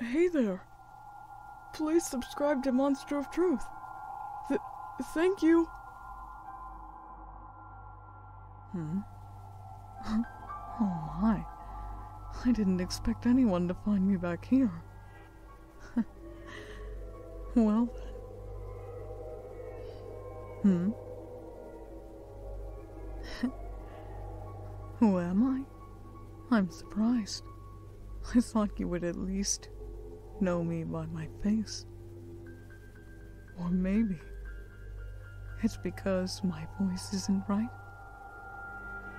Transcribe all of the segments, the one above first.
hey there. Please subscribe to Monster of Truth. thank you. Hmm? oh my. I didn't expect anyone to find me back here. well then. Hmm? Who am I? I'm surprised. I thought you would at least know me by my face. Or maybe it's because my voice isn't right.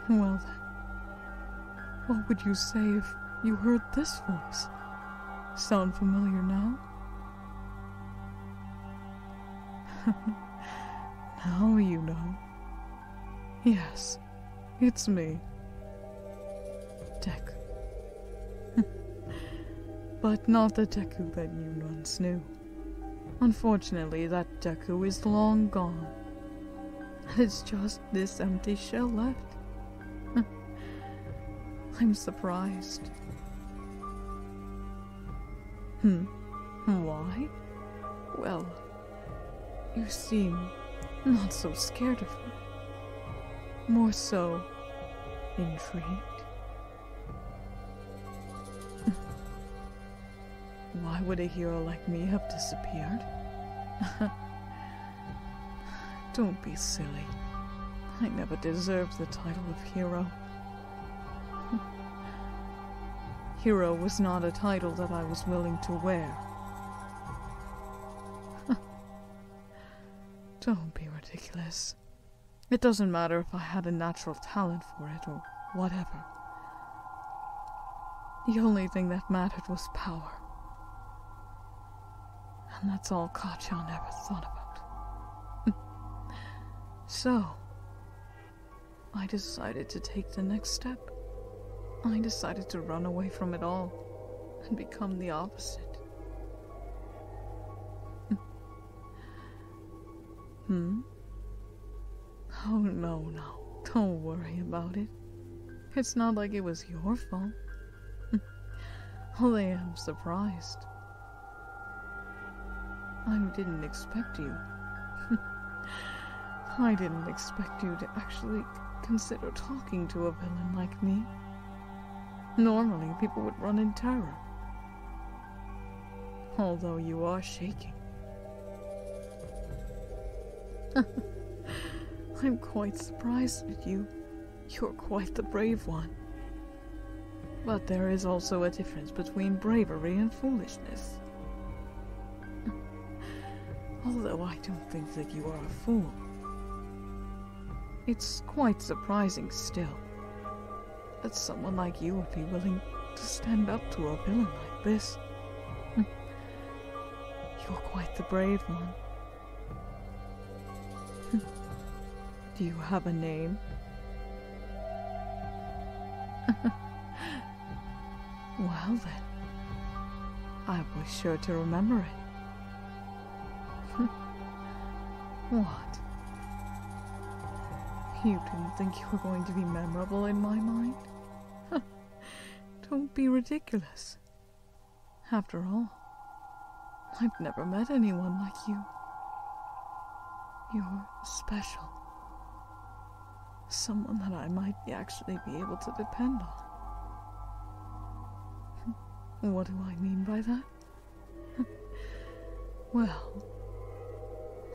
Well then, what would you say if you heard this voice? Sound familiar now? now you know. Yes, it's me. Deku. but not the Deku that you once knew. Unfortunately, that Deku is long gone. It's just this empty shell left. I'm surprised. Hmm. hmm. Why? Well, you seem not so scared of me. More so intrigued. Why would a hero like me have disappeared? Don't be silly. I never deserved the title of hero. Hmm. Hero was not a title that I was willing to wear. Don't be ridiculous. It doesn't matter if I had a natural talent for it or whatever. The only thing that mattered was power. And that's all Kachan ever thought about. so, I decided to take the next step. I decided to run away from it all and become the opposite. hmm? hmm? Oh, no, no. Don't worry about it. It's not like it was your fault. Only I'm surprised. I didn't expect you. I didn't expect you to actually consider talking to a villain like me. Normally, people would run in terror. Although you are shaking. I'm quite surprised with you. You're quite the brave one. But there is also a difference between bravery and foolishness. Although I don't think that you are a fool. It's quite surprising still that someone like you would be willing to stand up to a villain like this. You're quite the brave one. Do you have a name? Well then, I was sure to remember it. what? You didn't think you were going to be memorable in my mind? Don't be ridiculous. After all, I've never met anyone like you. You're special someone that I might actually be able to depend on. What do I mean by that? well,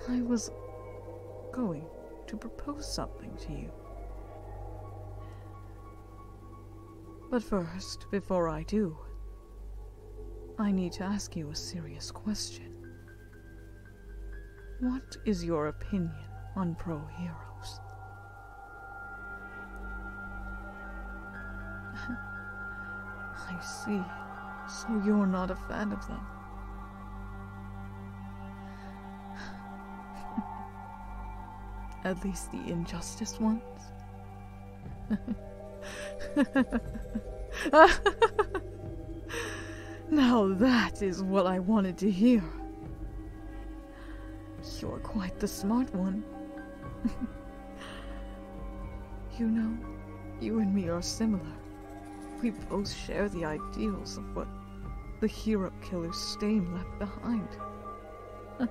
I was going to propose something to you. But first, before I do, I need to ask you a serious question. What is your opinion on pro heroes? I see. So you're not a fan of them. At least the injustice ones. now that is what I wanted to hear. You're quite the smart one. you know, you and me are similar. We both share the ideals of what the hero killer stain left behind. You're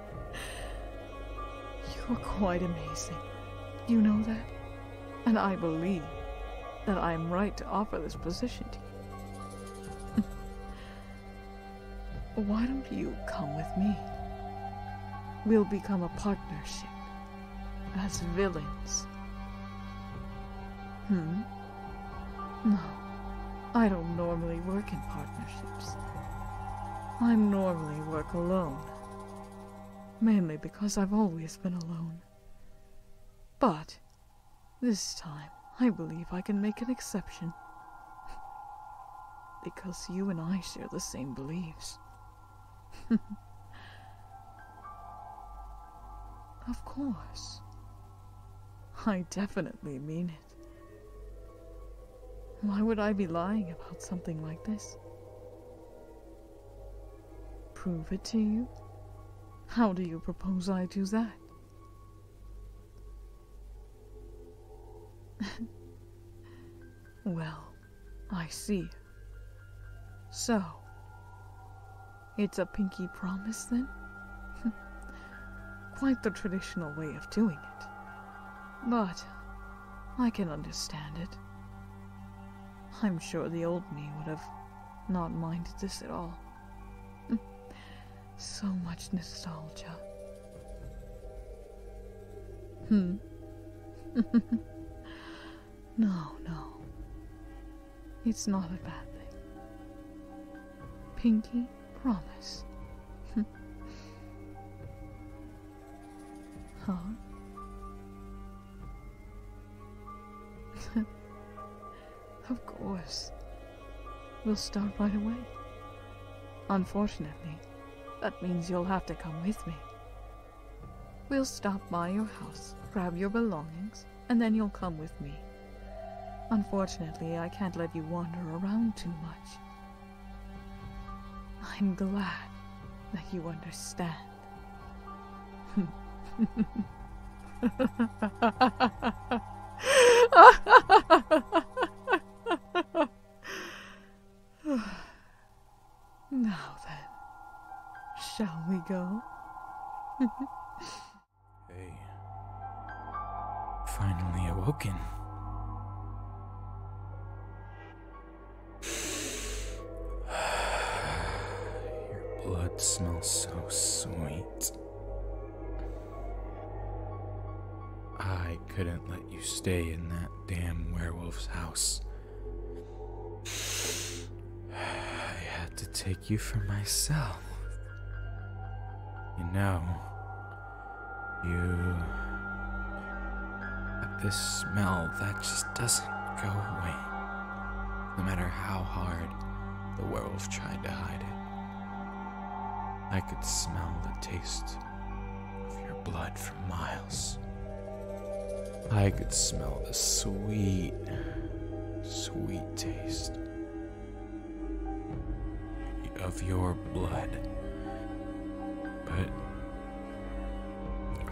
quite amazing. You know that? and I believe that I am right to offer this position to you. Why don't you come with me? We'll become a partnership as villains. Hmm? No, I don't normally work in partnerships. I normally work alone. Mainly because I've always been alone. But this time I believe I can make an exception. because you and I share the same beliefs. of course. I definitely mean it. Why would I be lying about something like this? Prove it to you? How do you propose I do that? well, I see. So, it's a pinky promise then? Quite the traditional way of doing it. But I can understand it. I'm sure the old me would have not minded this at all. Mm. so much nostalgia. Hmm. no, no. It's not a bad thing. Pinky, promise. huh? of course. We'll start right away. Unfortunately, that means you'll have to come with me. We'll stop by your house, grab your belongings, and then you'll come with me. Unfortunately, I can't let you wander around too much. I'm glad that you understand. now then, shall we go? Finally awoken. Your blood smells so sweet. I couldn't let you stay in that damn werewolf's house. I had to take you for myself. You know, you. This smell that just doesn't go away no matter how hard the werewolf tried to hide it. I could smell the taste of your blood for miles. I could smell the sweet, sweet taste of your blood. But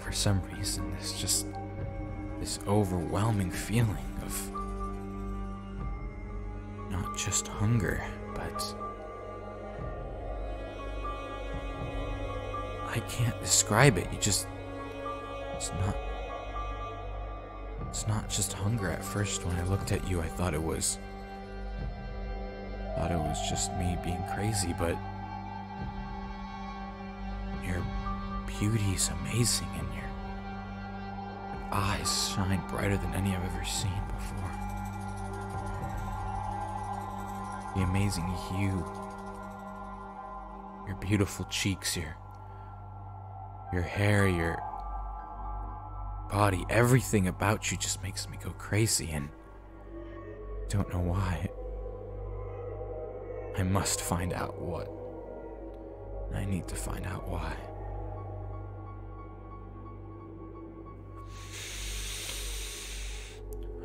for some reason some reason, there's just this overwhelming feeling of not just hunger, but I can't describe it. You just it's not it's not just hunger at first when I looked at you I thought it was thought it was just me being crazy, but your beauty is amazing, and your eyes shine brighter than any I've ever seen before. The amazing hue, your beautiful cheeks, your your hair, your body, everything about you just makes me go crazy, and I don't know why. I must find out what. I need to find out why.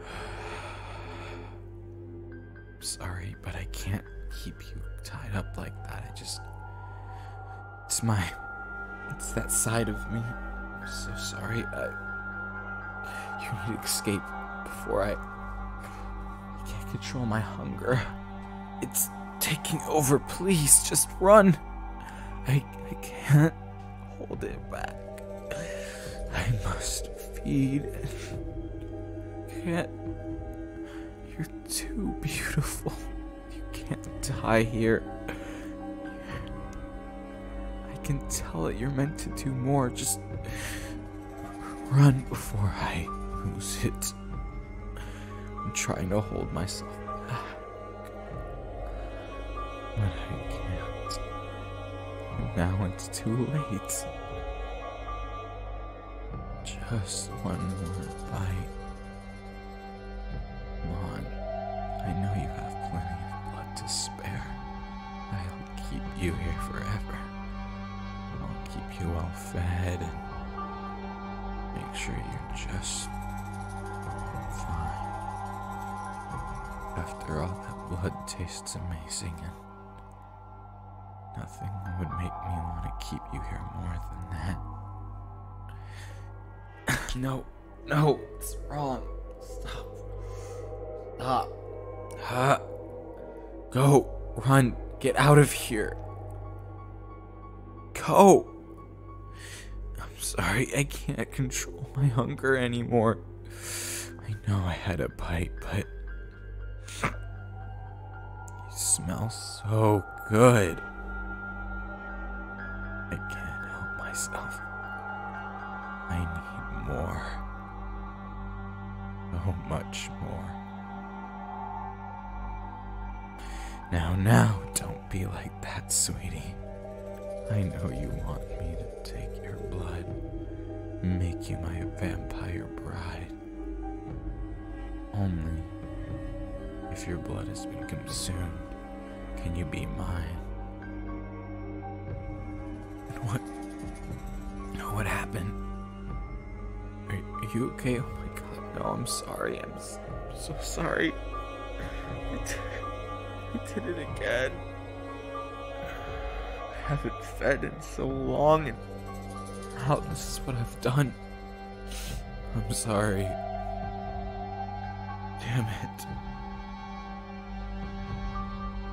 Sorry, but I can't keep you tied up like that. It's my. It's that side of me. I'm so sorry. I. You need to escape before I. I can't control my hunger. It's taking over. Please, just run. I, I can't hold it back. I must feed it. Can't. You're too beautiful. You can't die here. I can tell it you're meant to do more. Just Run before I lose it. I'm trying to hold myself But I can't. now it's too late. Just one more bite. Come on. I know you have plenty of blood to spare. I'll keep you here forever. I'll keep you alive yourself and make sure you're just fine. After all, that blood tastes amazing, and nothing would make me want to keep you here more than that. no, no, it's wrong. Stop. Stop. Ah. Go, run, get out of here. Go. I'm sorry, I can't control my hunger anymore. I know I had a bite, but. You smell so good. I can't help myself. I need more. So oh, much more. Now, now, don't be like that, sweetie. I know you want me to take your blood, make you my vampire bride. Only if your blood has been consumed, can you be mine. what? What happened? Are, you okay? Oh my god, no, I'm sorry. I'm so, sorry. I did, I did it again. I haven't fed in so long, and now this is what I've done. I'm sorry. Damn it.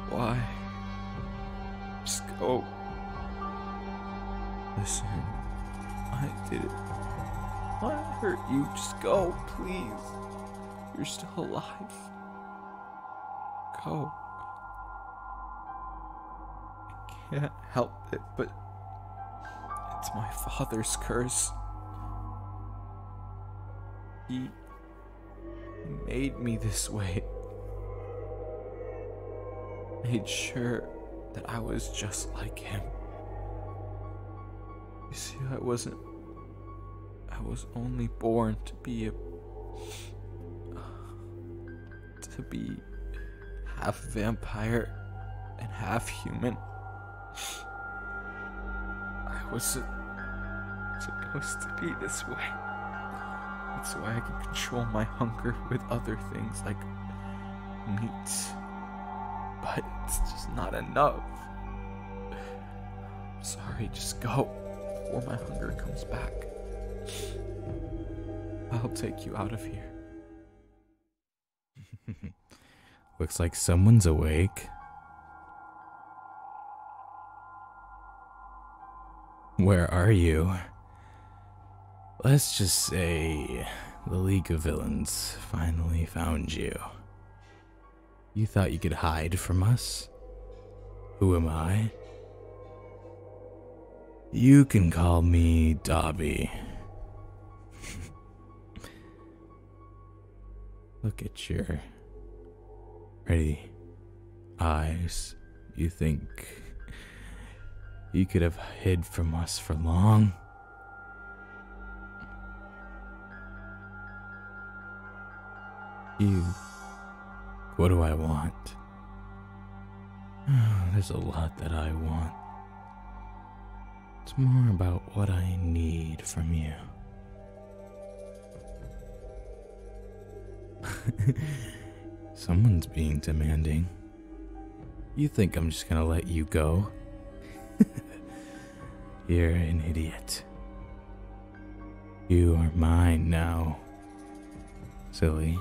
Why? Just go. Listen, I did it. I hurt you. Just go, please. You're still alive. Go. I can't help it, but it's my father's curse. He made me this way made sure that I was just like him. You see, I wasn't. I was only born to be a. to be half vampire and half human. I was supposed to be this way. That's the way I can control my hunger with other things like meat. But it's just not enough. sorry, just go or my hunger comes back. I'll take you out of here. Looks like someone's awake. Where are you? Let's just say the League of Villains finally found you. You thought you could hide from us? Who am I? You can call me Dobby. Look at your ready eyes. You think you could have hid from us for long? You. What do I want? there's a lot that I want. It's more about what I need from you. Someone's being demanding. You think I'm just gonna let you go? You're an idiot. You are mine now, silly.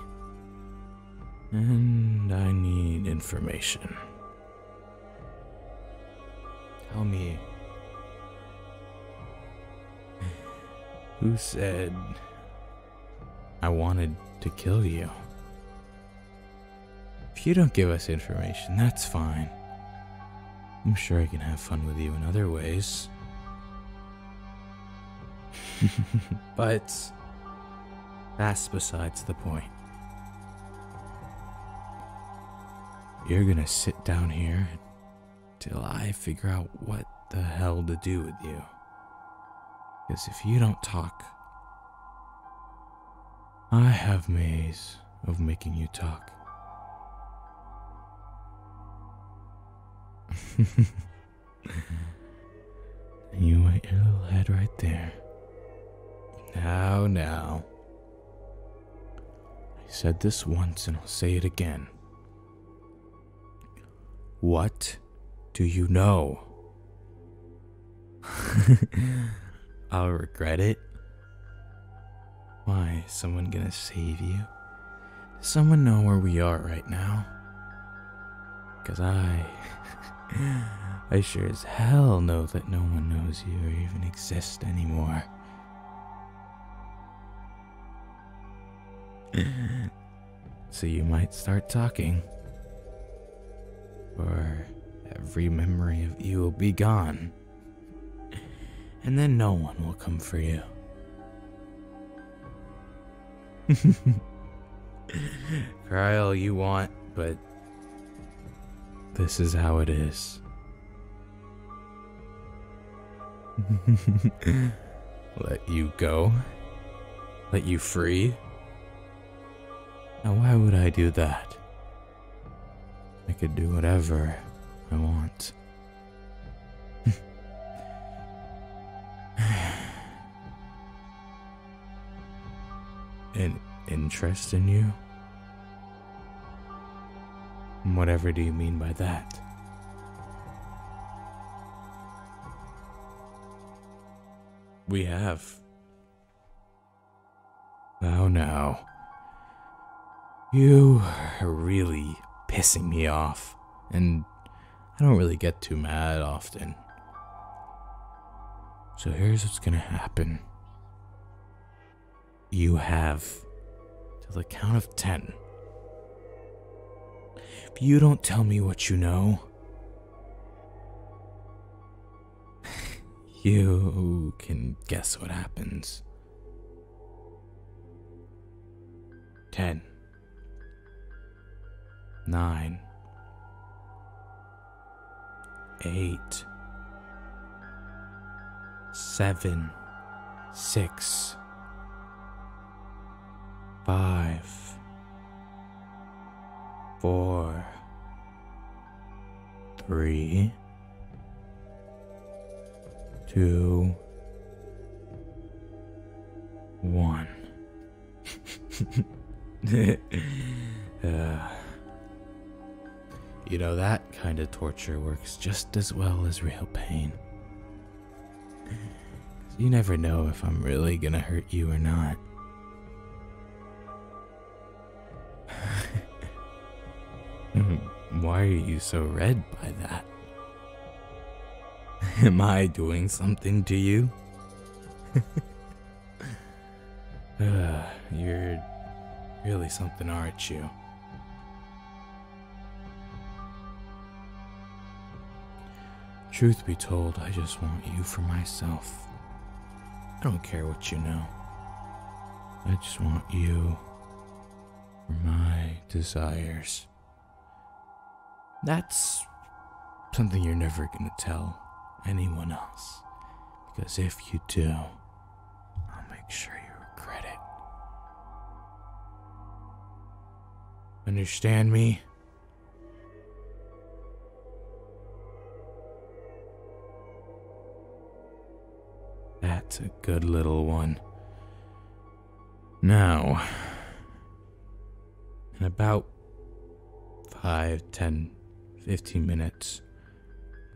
And I need information. Tell me. Who said I wanted to kill you. If you don't give us information, that's fine. I'm sure I can have fun with you in other ways. but that's besides the point. You're gonna sit down here till I figure out what the hell to do with you. Because if you don't talk, I have ways of making you talk. you went your little head right there. Now, now. I said this once and I'll say it again. What do you know? I'll regret it. Why, someone gonna save you? Does someone know where we are right now? Cause I. I sure as hell know that no one knows you or even exist anymore. so you might start talking, or every memory of you will be gone, and then no one will come for you. Cry all you want, but this is how it is. Let you go? Let you free? Now why would I do that? I could do whatever I want. An interest in you? Whatever do you mean by that? We have. Oh now, You are really pissing me off, and I don't really get too mad often. So here's what's gonna happen. You have till the count of ten. If you don't tell me what you know, you can guess what happens. Ten four, three, two, one. Uh, you know, that kind of torture works just as well as real pain. You never know if I'm really gonna hurt you or not. Hmm, why are you so red by that? Am I doing something to you? Uh, you're really something, aren't you? Truth be told, I just want you for myself. I don't care what you know. I just want you for my desires. That's something you're never going to tell anyone else. Because if you do, I'll make sure you regret it. Understand me? That's a good little one. Now, in about five, ten, fifteen minutes,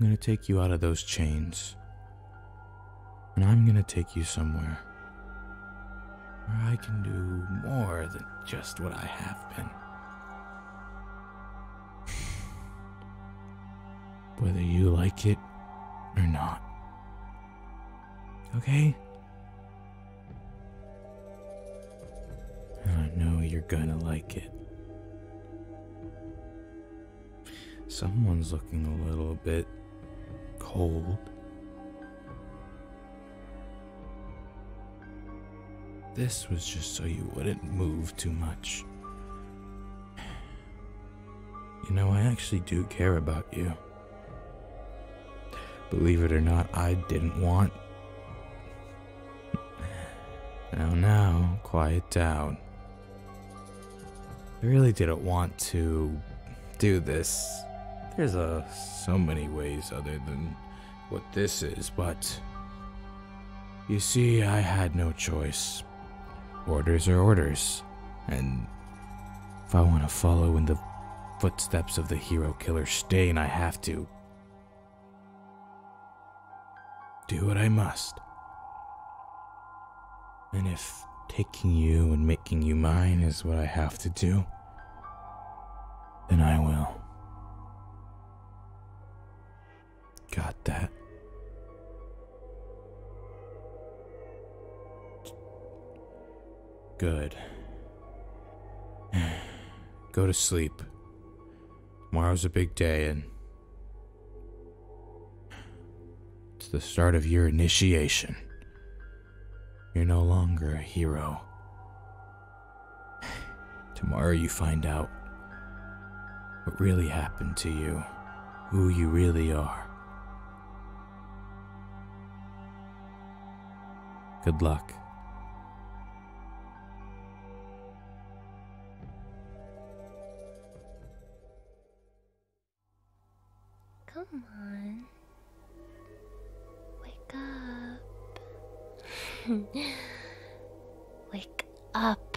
I'm gonna take you out of those chains. And I'm gonna take you somewhere where I can do more than just what I have been. Whether you like it or not. Okay? I know you're gonna like it. Someone's looking a little bit cold. This was just so you wouldn't move too much. You know, I actually do care about you. Believe it or not, I didn't want. Oh now, quiet down. I really didn't want to do this. There's a uh, so many ways other than what this is, but you see, I had no choice. Orders are orders, and if I want to follow in the footsteps of the hero killer Stain, I have to do what I must. And if taking you and making you mine is what I have to do, then I will. Got that. Good. Go to sleep. Tomorrow's a big day and it's the start of your initiation. You're no longer a hero. Tomorrow you find out what really happened to you, who you really are. Good luck. Come on. Wake up. Wake up.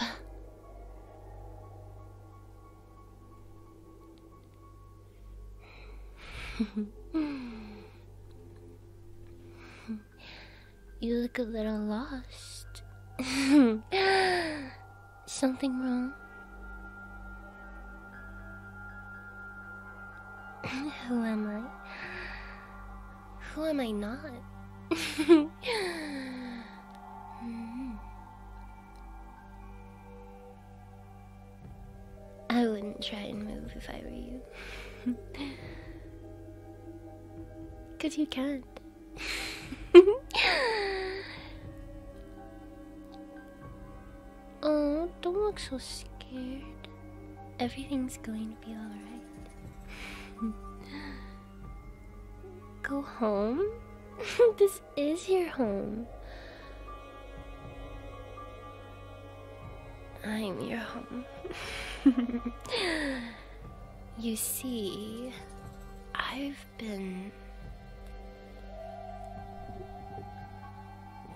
you look a little lost. Something wrong? Who am I? Who am I not? I wouldn't try and move if I were you. Because you can't. Oh, don't look so scared. Everything's going to be alright. Go home? this is your home. I'm your home. you see, I've been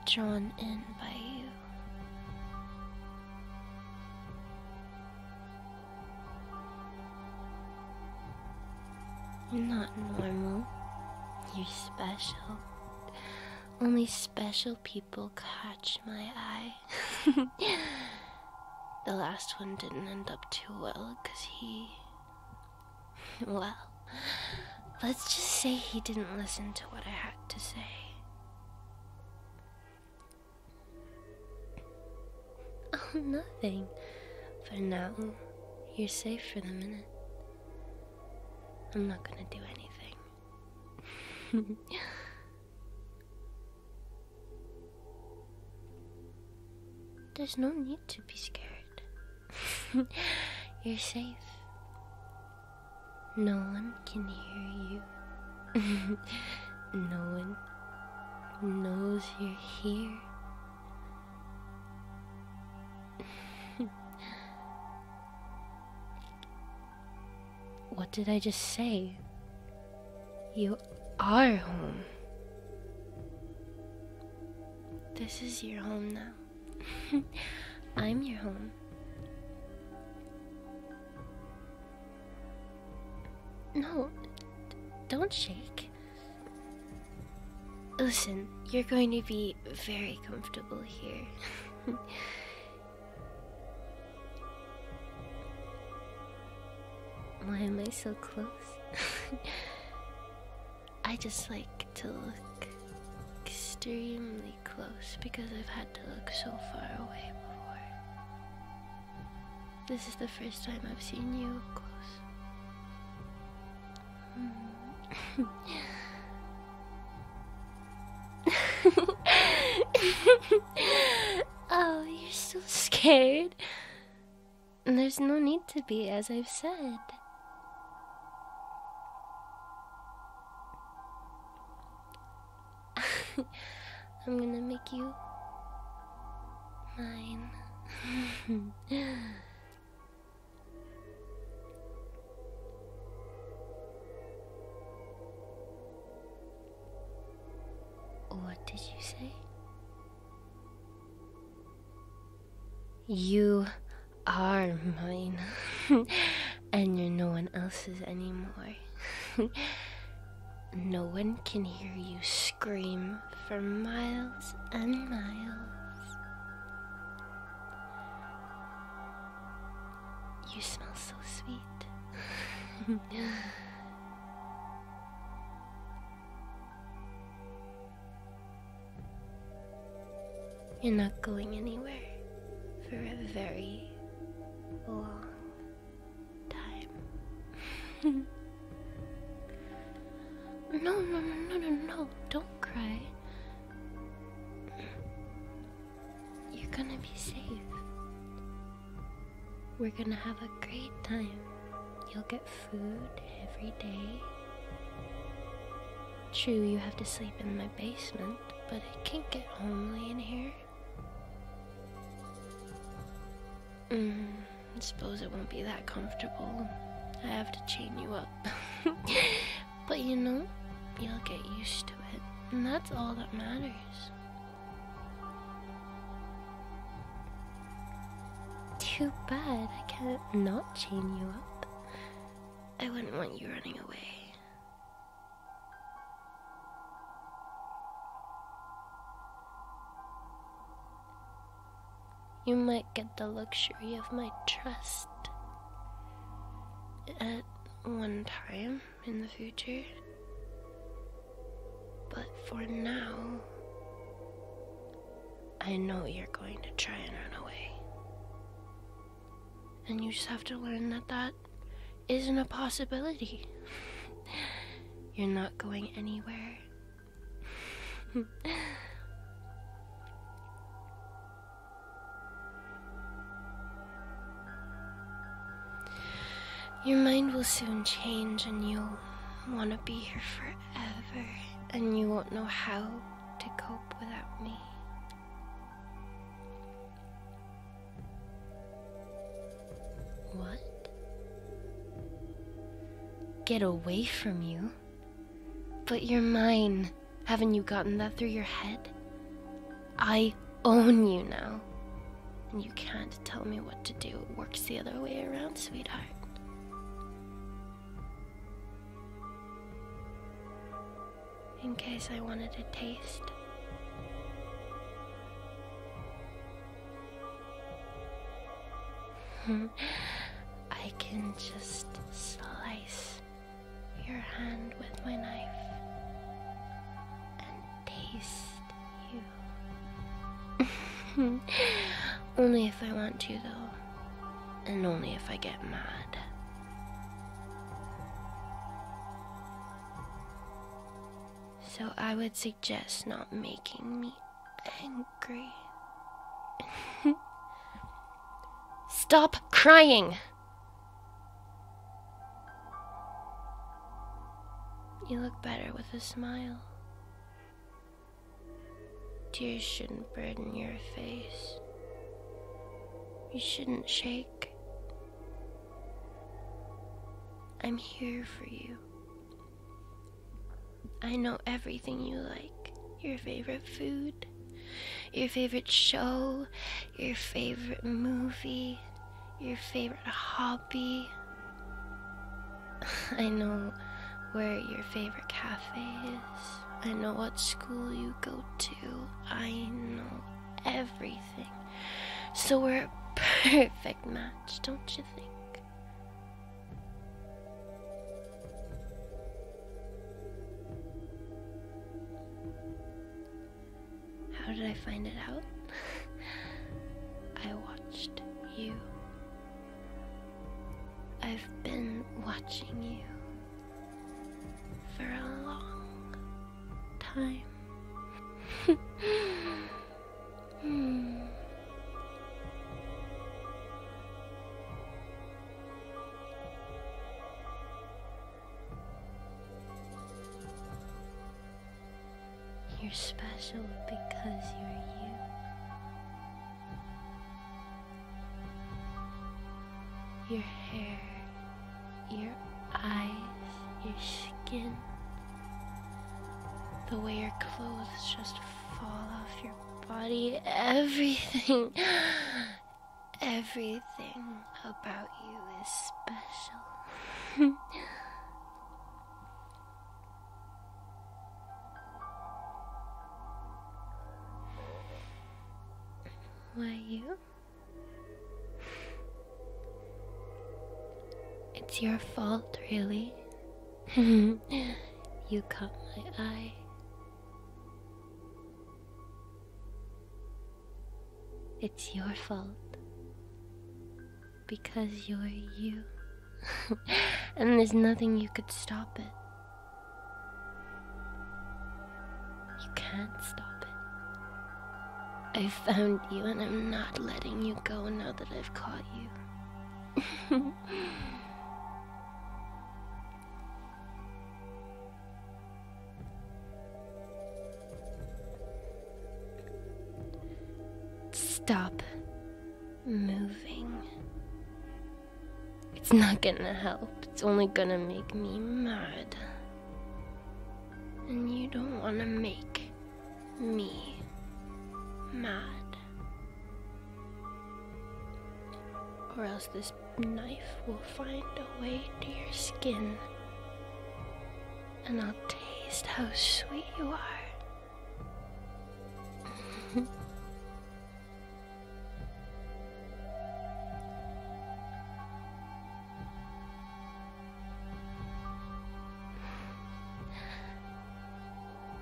drawn in by you. You're not normal. You're special. Only special people catch my eye. the last one didn't end up too well because he. Well, Let's just say he didn't listen to what I had to say. Oh, nothing. For now, you're safe for the minute. I'm not gonna do anything. There's no need to be scared. you're safe. No one can hear you. no one knows you're here. what did I just say? You are home. This is your home now. I'm your home. No, don't shake. Listen, you're going to be very comfortable here. Why am I so close? I just like to look extremely close because I've had to look so far away before. This is the first time I've seen you close. Hmm. oh, you're so scared. There's no need to be, as I've said. I'm gonna make you mine. what did you say? You are mine, and you're no one else's anymore. no one can hear you scream for miles and miles. You smell so sweet. You're not going anywhere for a very long time. no, no, no, no, no, no! don't cry. You're gonna be safe. We're gonna have a great time. You'll get food every day. True, you have to sleep in my basement but it can not get homely in here. Mm, I suppose it won't be that comfortable. I have to chain you up. but you know, you'll get used to it, and that's all that matters. Too bad I can't not chain you up. I wouldn't want you running away. You might get the luxury of my trust at one time in the future, but for now, I know you're going to try and run away. And you just have to learn that that isn't a possibility. You're not going anywhere. Your mind will soon change and you'll want to be here forever and you won't know how to cope without me. What? Get away from you? But you're mine. Haven't you gotten that through your head? I own you now. And you can't tell me what to do. It works the other way around, sweetheart in case I wanted a taste. I can just slice your hand with my knife and taste you. only if I want to, though, and only if I get mad. So I would suggest not making me angry. Stop crying! You look better with a smile. Tears shouldn't burden your face. You shouldn't shake. I'm here for you. I know everything you like your favorite food, your favorite show, your favorite movie, your favorite hobby. I know where your favorite cafe is. I know what school you go to. I know everything. So we're a perfect match, don't you think? How did I find it out? I watched you. I've been watching you for a long time. You're special because you're you. Your hair your eyes, your skin, the way your clothes just fall off your body, everything, everything about you is special. Why you It's your fault, really. you caught my eye. It's your fault. Because you're you. and there's nothing you could stop it. You can't stop it. I found you and I'm not letting you go now that I've caught you. Stop moving. It's not gonna help. It's only gonna make me mad. And you don't want to make me mad. Or else this knife will find a way to your skin. And I'll taste how sweet you are.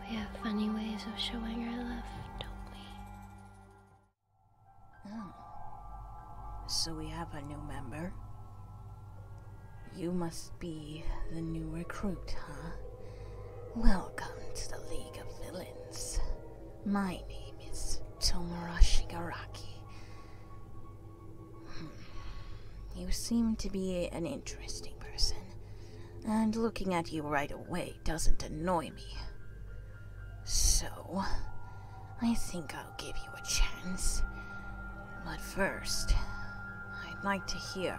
We have funny ways of showing our love, don't we? Oh. So we have a new member. You must be the new recruit, huh? Welcome to the League of Villains. My name is Tomura Garaki. Hmm. You seem to be an interesting person, and looking at you right away doesn't annoy me. So, I think I'll give you a chance. But first, I'd like to hear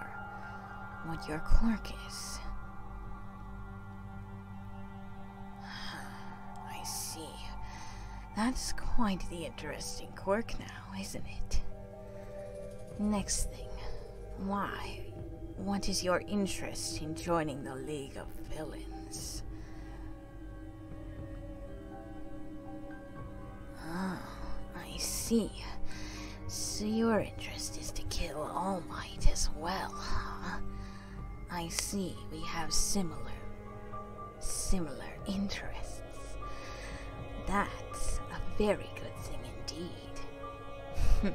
what your quirk is. I see. That's quite the interesting quirk now, isn't it? Next thing. Why? What is your interest in joining the League of Villains? Ah, I see. So your interest is to kill All Might as well, huh? I see we have similar, similar interests. That's a very good thing indeed.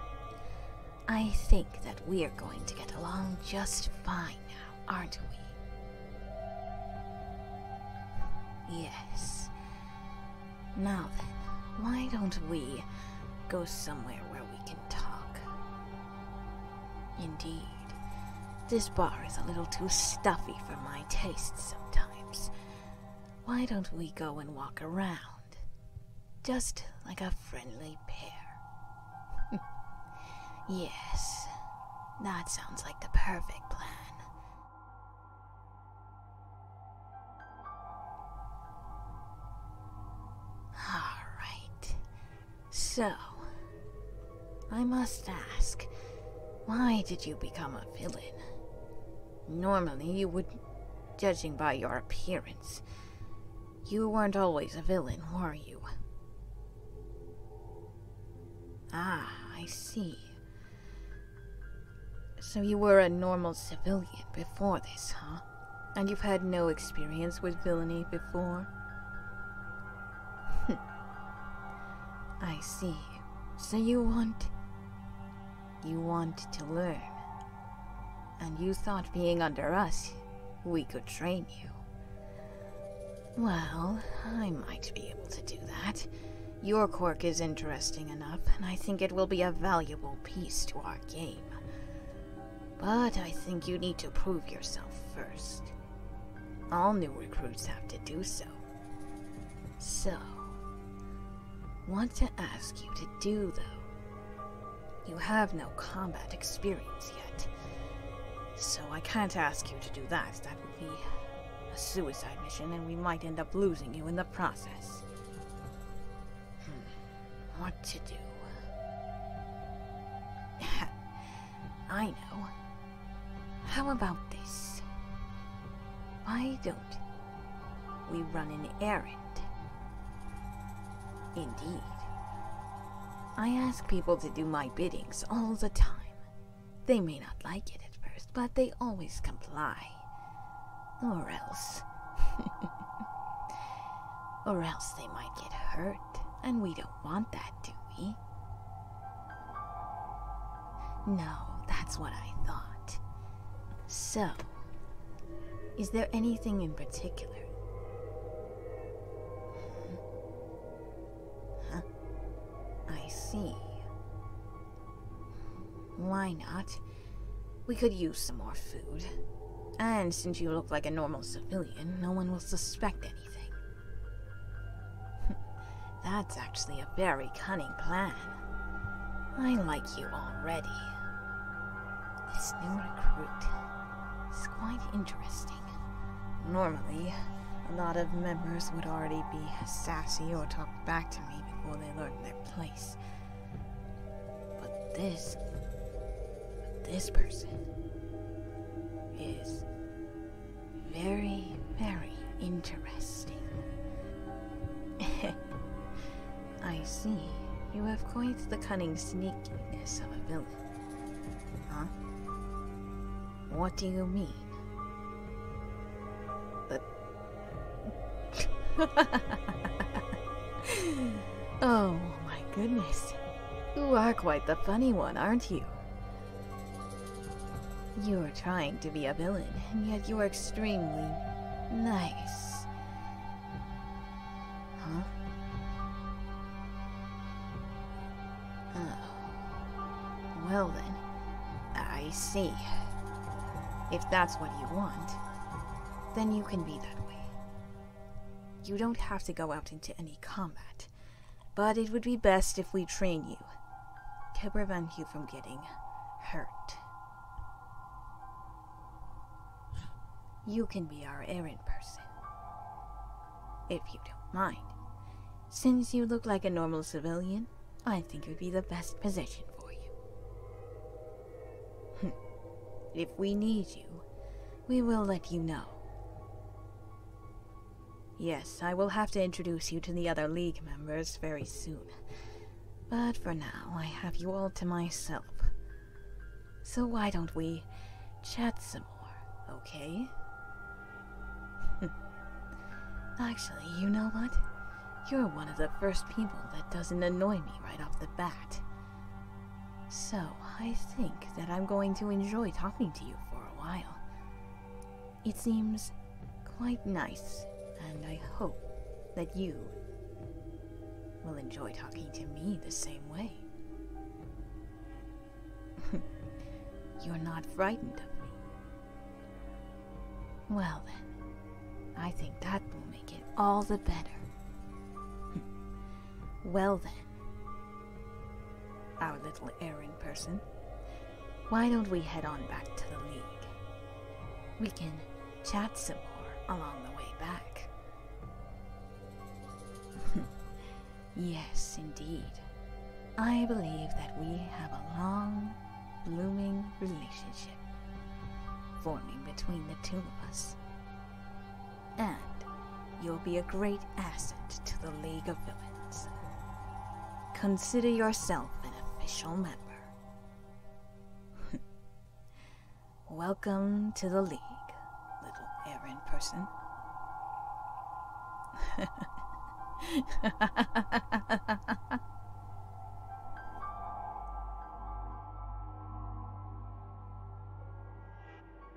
I think that we're going to get along just fine now, aren't we? Yes. Now then, why don't we go somewhere where we can talk? Indeed. This bar is a little too stuffy for my taste sometimes. Why don't we go and walk around? Just like a friendly pair. yes, that sounds like the perfect plan. All right, so, I must ask, why did you become a villain? Normally, you would, judging by your appearance, you weren't always a villain, were you? Ah, I see. So you were a normal civilian before this, huh? And you've had no experience with villainy before? I see. So you want. You want to learn. And you thought being under us, we could train you. Well, I might be able to do that. Your cork is interesting enough, and I think it will be a valuable piece to our game. But I think you need to prove yourself first. All new recruits have to do so. So, want to ask you to do though. You have no combat experience yet, so I can't ask you to do that. That would be a suicide mission and we might end up losing you in the process. Hmm. What to do? I know. How about this? Why don't we run an errand? Indeed. I ask people to do my biddings all the time. They may not like it at first, but they always comply. Or else. or else they might get hurt and we don't want that, do we? No, that's what I thought. So, is there anything in particular? Huh? I see. Why not? We could use some more food. And since you look like a normal civilian, no one will suspect it. That's actually a very cunning plan. I like you already. This new recruit is quite interesting. Normally, a lot of members would already be sassy or talk back to me before they learn their place. But this this person is very, very interesting. I see. You have quite the cunning sneakiness of a villain. Huh? What do you mean? oh my goodness. You are quite the funny one, aren't you? You are trying to be a villain, and yet you are extremely nice. Huh? Oh. Well then, I see. If that's what you want, then you can be that way. You don't have to go out into any combat. But it would be best if we train you to prevent you from getting hurt. You can be our errand person. If you don't mind. Since you look like a normal civilian, I think it would be the best position for you. if we need you, we will let you know. Yes, I will have to introduce you to the other League members very soon. But for now, I have you all to myself. So why don't we chat some more, okay? Actually, you know what? You're one of the first people that doesn't annoy me right off the bat. So, I think that I'm going to enjoy talking to you for a while. It seems quite nice, and I hope that you will enjoy talking to me the same way. You're not frightened of me. Well then, I think that will make it all the better. well then, our little erring person. Why don't we head on back to the League? We can chat some more along the way back. yes, indeed. I believe that we have a long, blooming relationship forming between the two of us and you'll be a great asset to the League of Villains. Consider yourself an official member. Welcome to the League, little errand person.